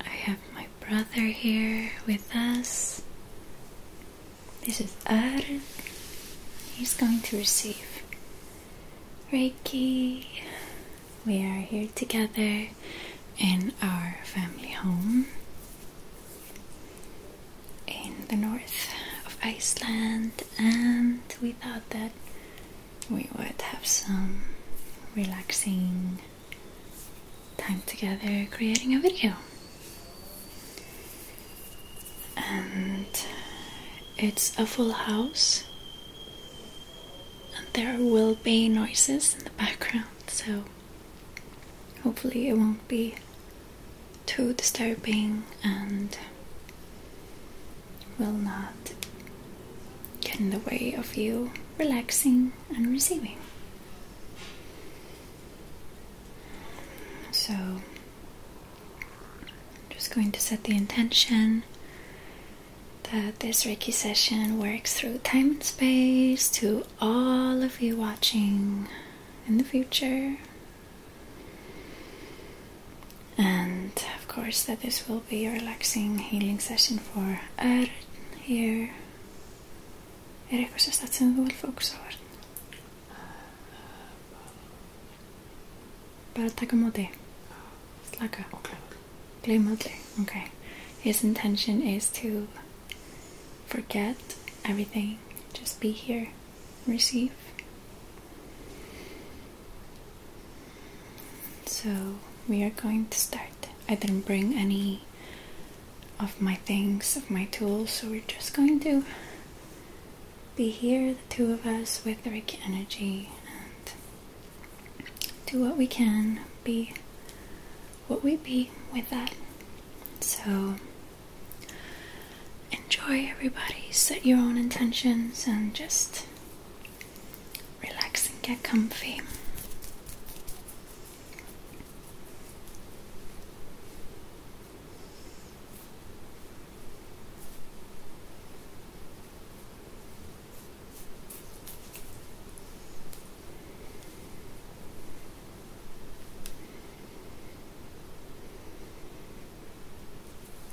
I have my brother here with us. This is Arg. He's going to receive Reiki. We are here together in our family home in the north of Iceland, and we thought that we would have some relaxing time together creating a video. And it's a full house, and there will be noises in the background, so hopefully, it won't be too disturbing and will not get in the way of you relaxing and receiving. So, I'm just going to set the intention that this Reiki session works through time and space to all of you watching in the future and of course, that this will be a relaxing healing session for er here. Erik, was that something will focus on? But Bara taka móti. Slaka. Okay. Gleyma allir. Okay. His intention is to forget everything. Just be here. Receive. So we are going to start. I didn't bring any of my things, of my tools, so we're just going to be here, the two of us, with the Reiki energy and do what we can, be what we be with that. So enjoy everybody, set your own intentions and just Relax and get comfy.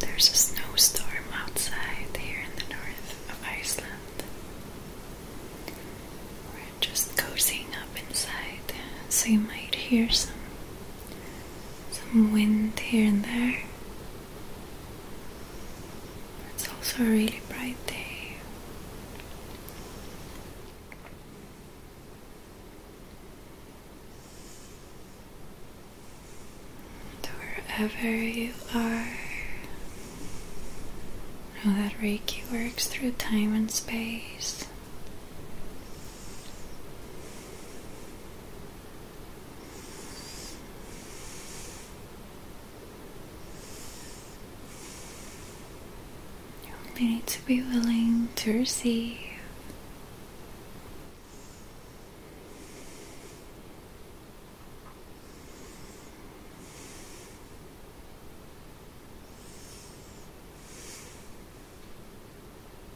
There's a snowstorm outside here in the north of Iceland. We're just cozying up inside, so you might hear some some wind here and there. It's also a really bright day. And wherever you are, know that Reiki works through time and space it. You only need to be willing to receive.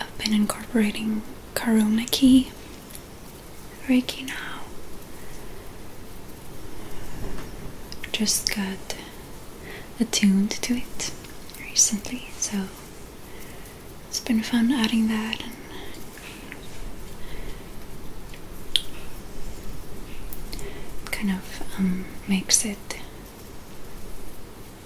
I've been incorporating Karuna Ki Reiki now just got attuned to it recently, so it's been fun adding that. And kind of um, makes it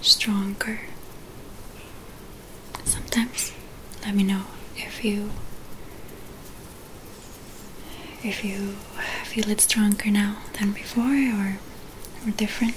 stronger. Sometimes let me know if you if you feel it stronger now than before or, or different.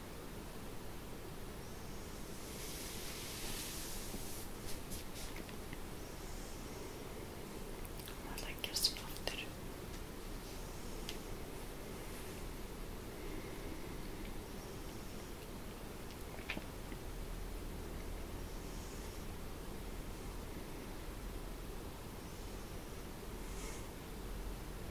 I Vad läcker skafter.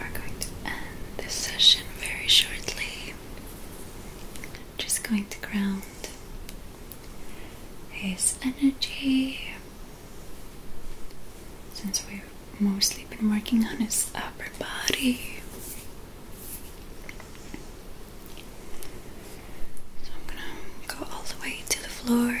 We are going to end this session very shortly. Just going to ground his energy since we've mostly been working on his upper body. So I'm gonna go all the way to the floor.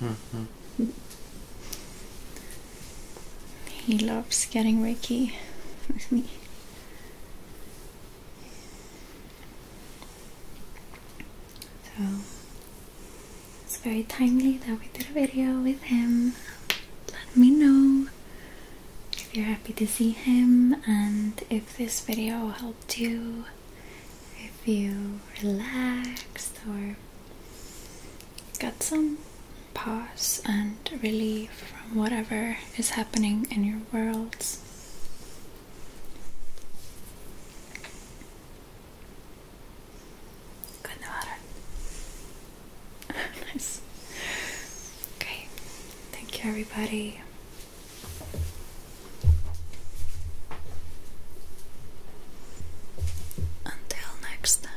Mm-hmm. He loves getting Reiki with me. So it's very timely that we did a video with him. Let me know if you're happy to see him and if this video helped you, if you relaxed or got some pause and relief from whatever is happening in your worlds. Good in nice. Okay. Thank you, everybody. Until next time.